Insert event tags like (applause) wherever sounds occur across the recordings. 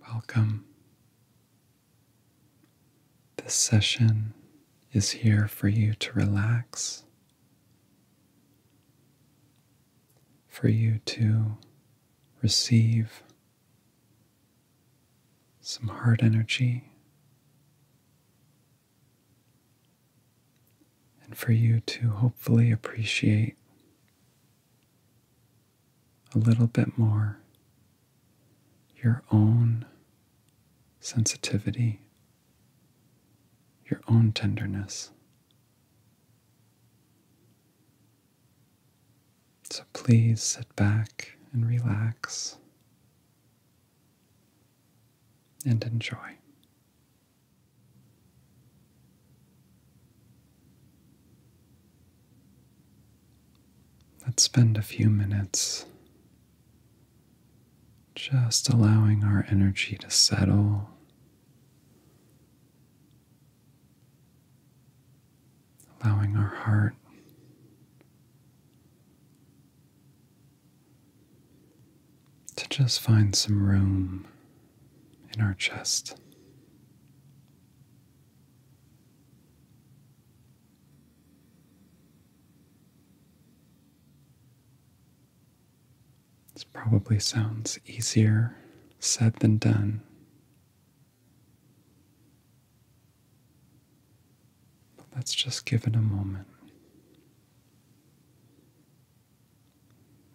Welcome. This session is here for you to relax, for you to receive some heart energy, and for you to hopefully appreciate a little bit more your own sensitivity, your own tenderness. So please sit back and relax and enjoy. Let's spend a few minutes just allowing our energy to settle. Allowing our heart to just find some room in our chest. This probably sounds easier said than done. But let's just give it a moment.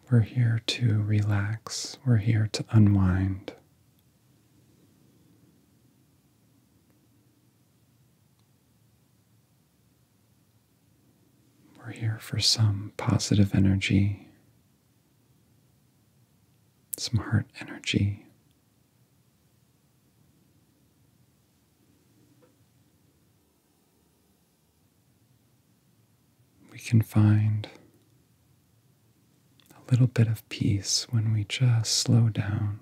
We're here to relax, we're here to unwind. We're here for some positive energy, some heart energy. We can find a little bit of peace when we just slow down.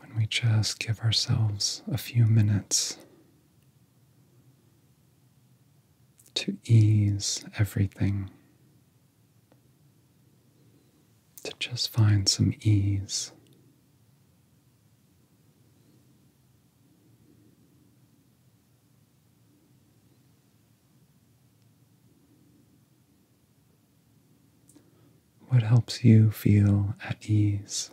When we just give ourselves a few minutes to ease everything, to just find some ease. What helps you feel at ease?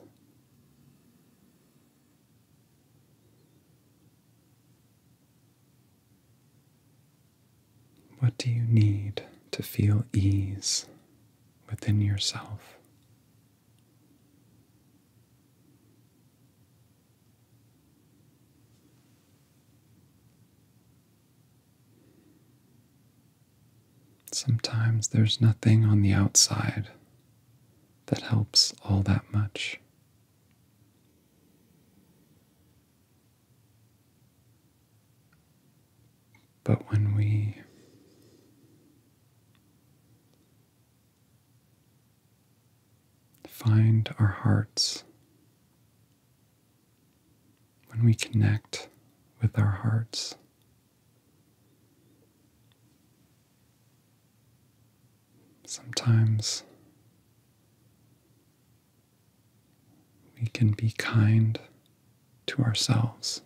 What do you need to feel ease within yourself? Sometimes there's nothing on the outside that helps all that much. But when we Find our hearts. When we connect with our hearts, sometimes we can be kind to ourselves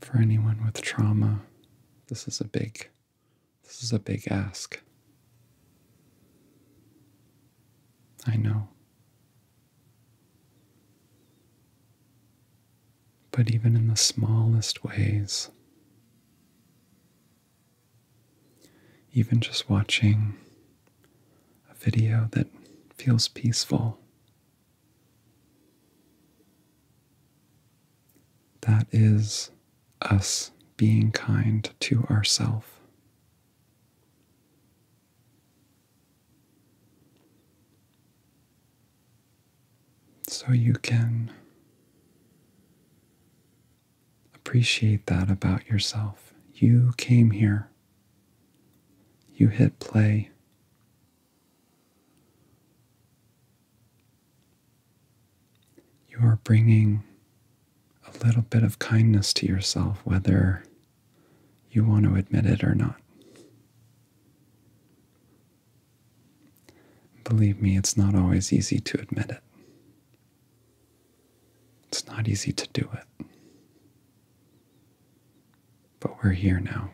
for anyone with trauma, this is a big this is a big ask. I know. But even in the smallest ways, even just watching a video that feels peaceful that is us being kind to ourselves. So you can appreciate that about yourself. You came here, you hit play, you are bringing a little bit of kindness to yourself, whether you want to admit it or not. Believe me, it's not always easy to admit it. It's not easy to do it. But we're here now.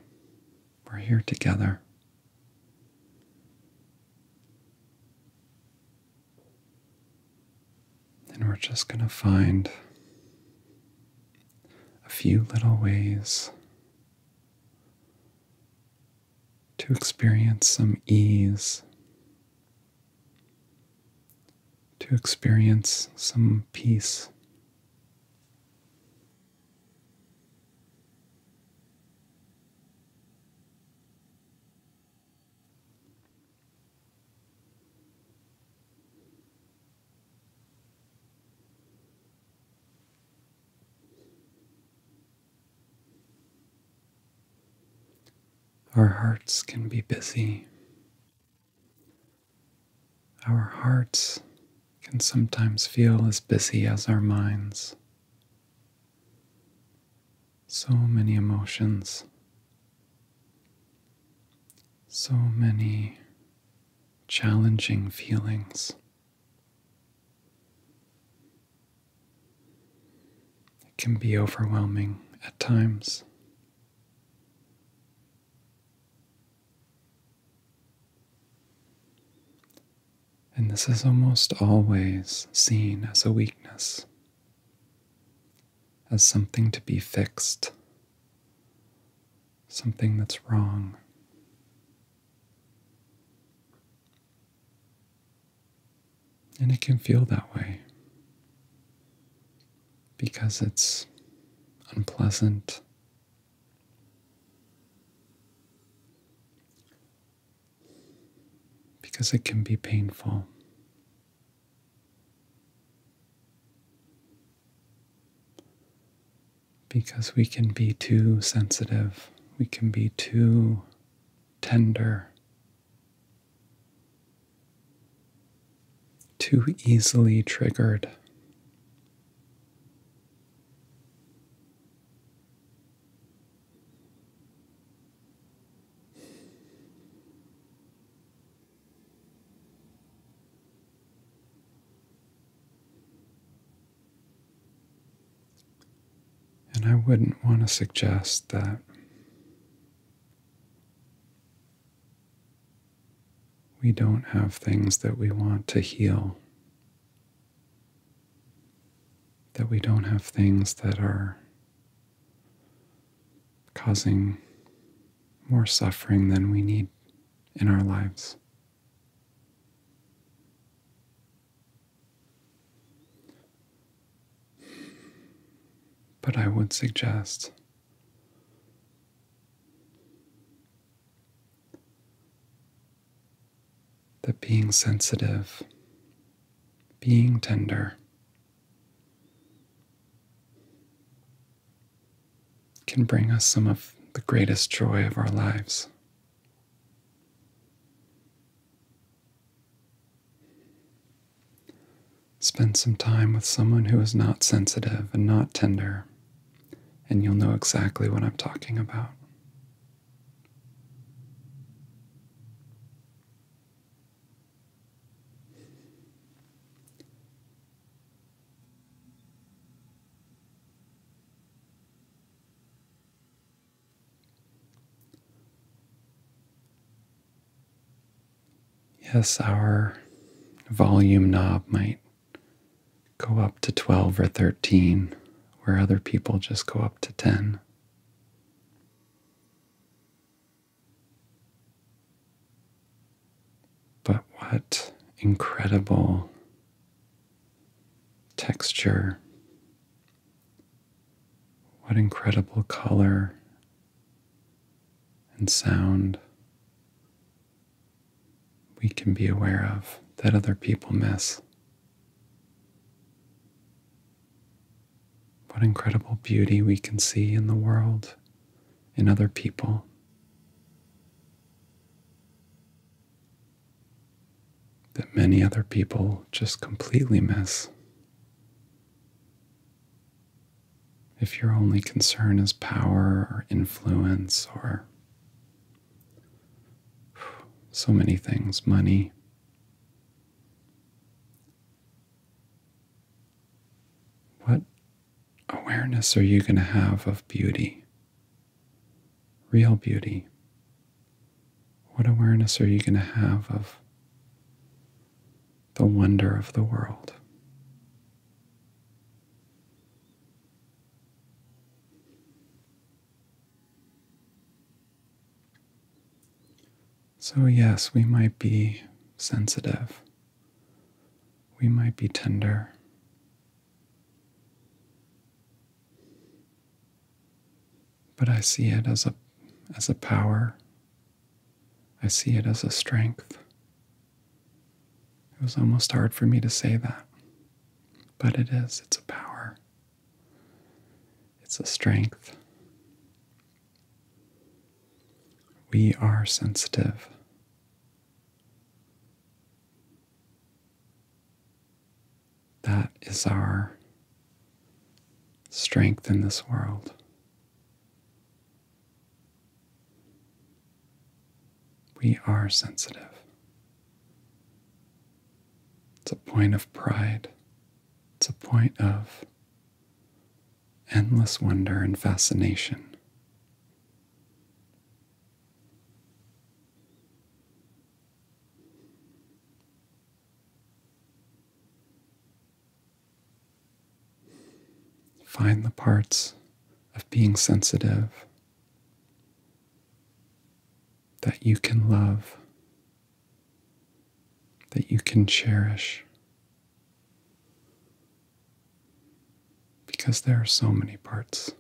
We're here together. And we're just going to find a few little ways to experience some ease, to experience some peace. Our hearts can be busy, our hearts can sometimes feel as busy as our minds. So many emotions, so many challenging feelings. It can be overwhelming at times. And this is almost always seen as a weakness, as something to be fixed, something that's wrong. And it can feel that way because it's unpleasant because it can be painful. Because we can be too sensitive, we can be too tender, too easily triggered and I wouldn't want to suggest that we don't have things that we want to heal, that we don't have things that are causing more suffering than we need in our lives. But I would suggest that being sensitive, being tender, can bring us some of the greatest joy of our lives. Spend some time with someone who is not sensitive and not tender and you'll know exactly what I'm talking about. Yes, our volume knob might go up to 12 or 13, where other people just go up to 10. But what incredible texture! What incredible color and sound we can be aware of that other people miss. What incredible beauty we can see in the world, in other people. That many other people just completely miss. If your only concern is power or influence or (sighs) So many things money. What awareness are you going to have of beauty? Real beauty. What awareness are you going to have of the wonder of the world? So, yes, we might be sensitive. We might be tender. But I see it as a, as a power. I see it as a strength. It was almost hard for me to say that, but it is. It's a power, it's a strength. We are sensitive. That is our strength in this world. We are sensitive. It's a point of pride. It's a point of endless wonder and fascination. Find the parts of being sensitive that you can love, that you can cherish. Because there are so many parts,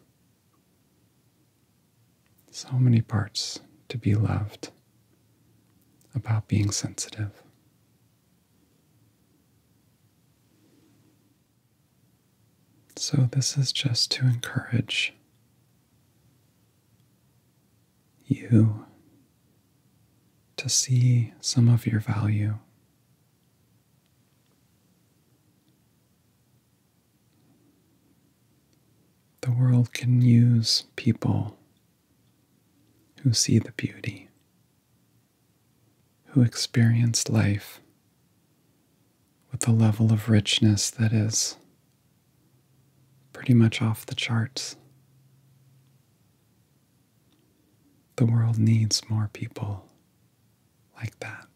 so many parts to be loved about being sensitive. So, this is just to encourage you to see some of your value. The world can use people who see the beauty, who experience life with the level of richness that is pretty much off the charts. The world needs more people like that.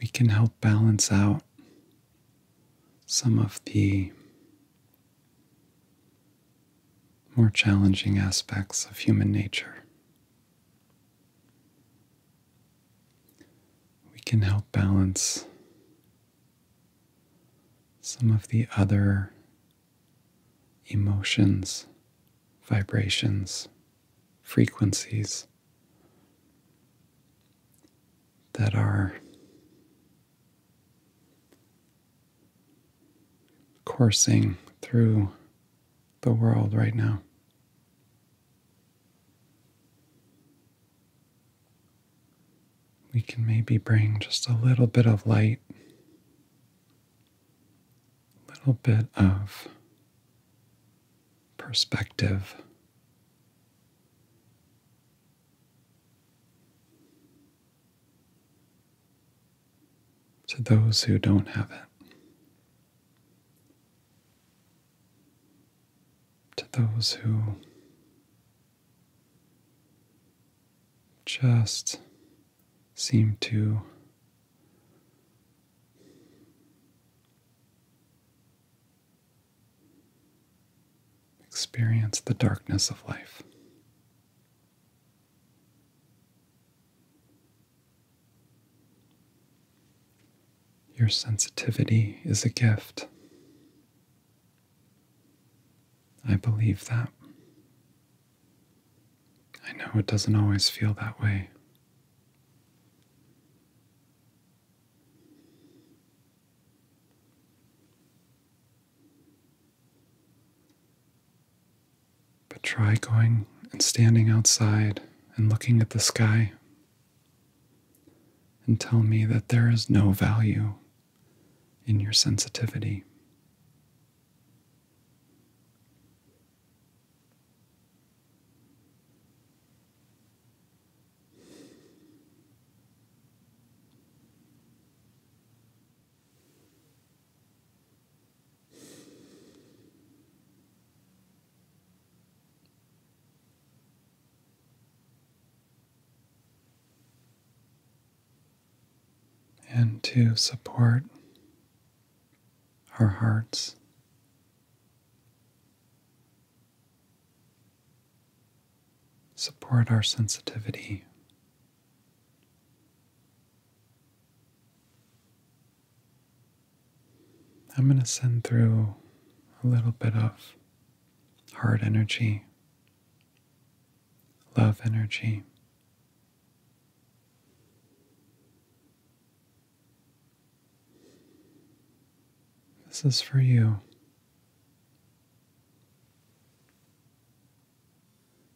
We can help balance out some of the more challenging aspects of human nature. We can help balance some of the other emotions, vibrations, frequencies that are coursing through the world right now. We can maybe bring just a little bit of light, a little bit of perspective to those who don't have it, to those who just seem to experience the darkness of life. Your sensitivity is a gift. I believe that. I know it doesn't always feel that way. But try going and standing outside and looking at the sky and tell me that there is no value in your sensitivity and to support our hearts support our sensitivity. I'm going to send through a little bit of heart energy, love energy. This is for you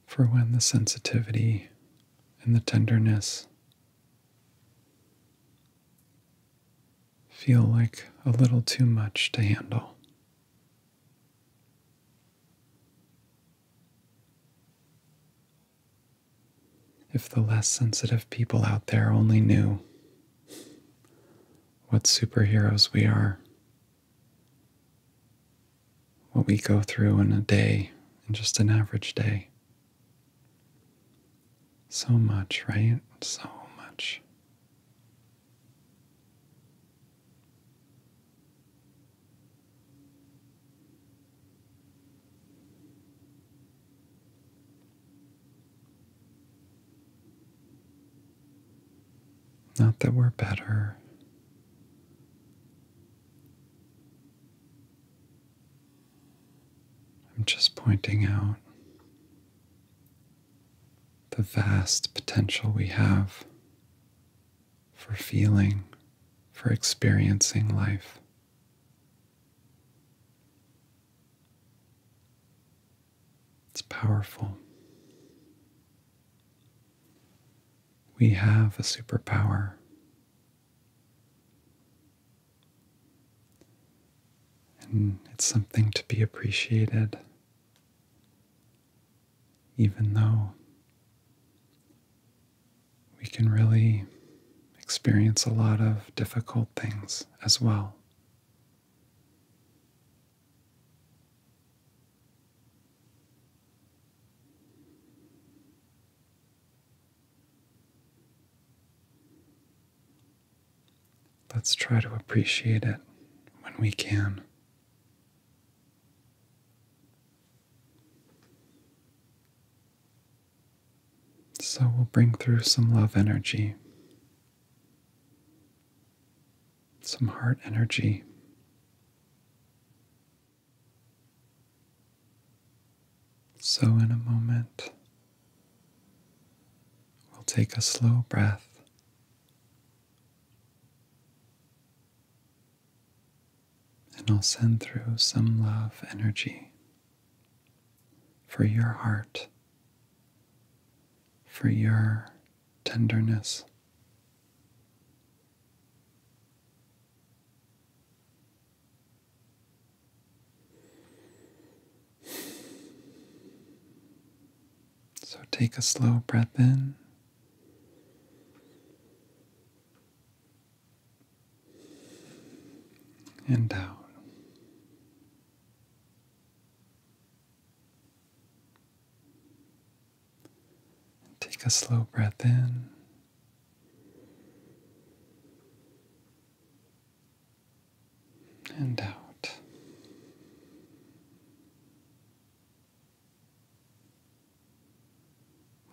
for when the sensitivity and the tenderness feel like a little too much to handle. If the less sensitive people out there only knew what superheroes we are what we go through in a day, in just an average day. So much, right? So much. Not that we're better. I'm just pointing out the vast potential we have for feeling, for experiencing life. It's powerful. We have a superpower. And it's something to be appreciated, even though we can really experience a lot of difficult things as well. Let's try to appreciate it when we can. So we'll bring through some love energy some heart energy. So, in a moment, we'll take a slow breath. And I'll send through some love energy for your heart for your tenderness. So take a slow breath in. And out. Take a slow breath in. And out.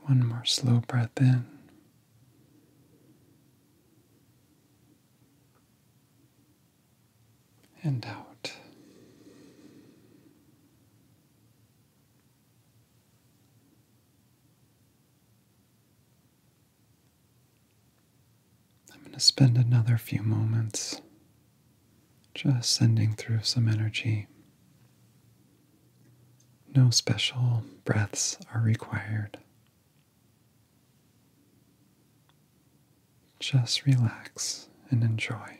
One more slow breath in and out. I'm going to spend another few moments just sending through some energy. No special breaths are required. Just relax and enjoy.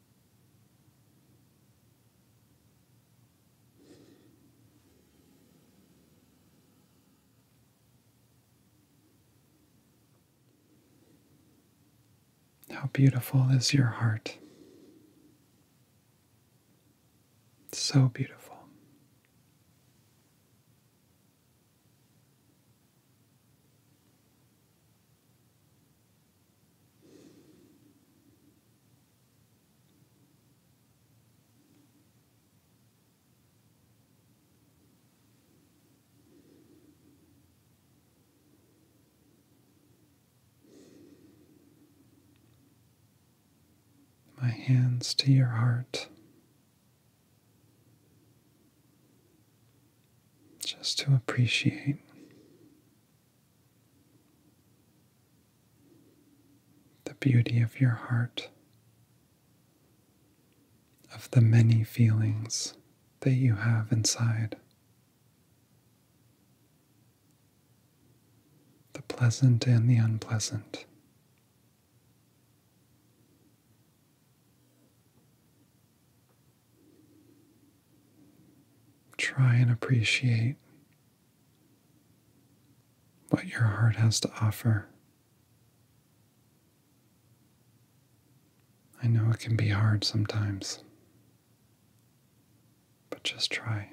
How beautiful is your heart? So beautiful. My hands to your heart just to appreciate the beauty of your heart, of the many feelings that you have inside, the pleasant and the unpleasant. Try and appreciate what your heart has to offer. I know it can be hard sometimes, but just try.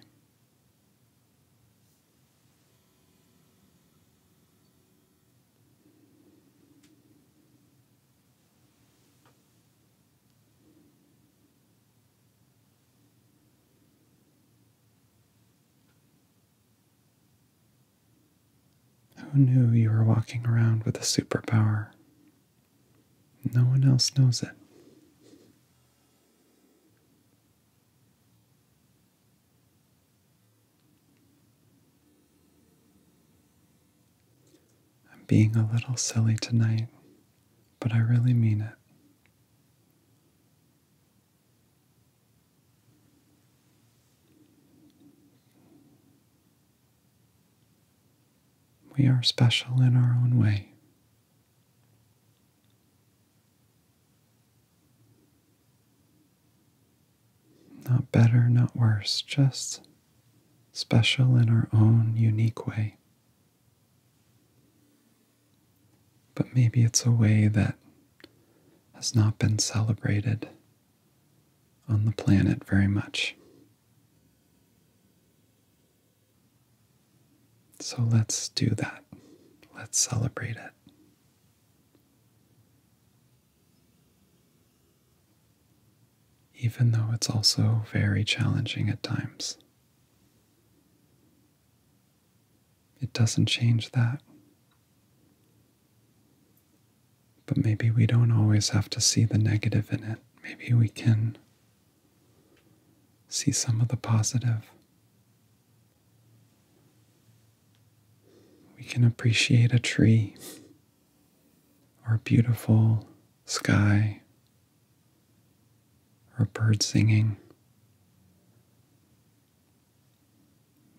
Who knew you were walking around with a superpower? No one else knows it. I'm being a little silly tonight, but I really mean it. We are special in our own way. Not better, not worse, just special in our own unique way. But maybe it's a way that has not been celebrated on the planet very much. So let's do that. Let's celebrate it even though it's also very challenging at times. It doesn't change that. But maybe we don't always have to see the negative in it. Maybe we can see some of the positive. We can appreciate a tree or beautiful sky or birds singing.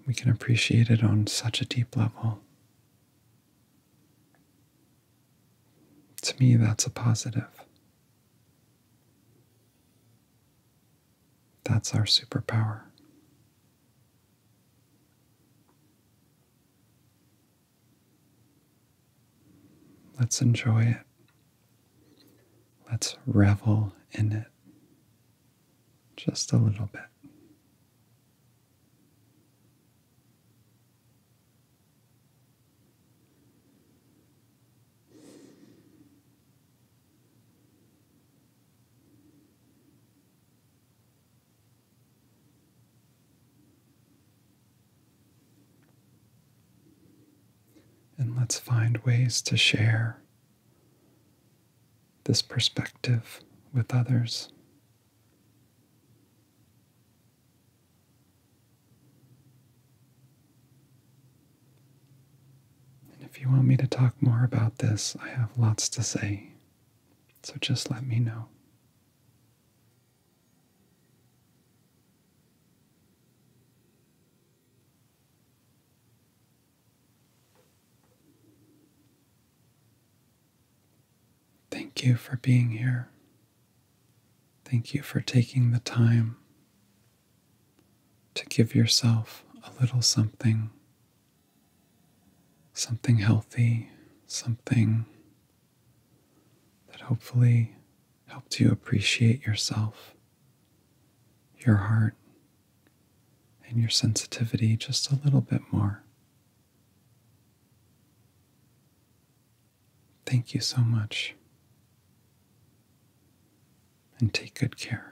We can appreciate it on such a deep level. To me, that's a positive. That's our superpower. Let's enjoy it. Let's revel in it just a little bit. And let's find ways to share this perspective with others. And if you want me to talk more about this, I have lots to say. So just let me know. Thank you for being here. Thank you for taking the time to give yourself a little something, something healthy, something that hopefully helped you appreciate yourself, your heart, and your sensitivity just a little bit more. Thank you so much. And take good care.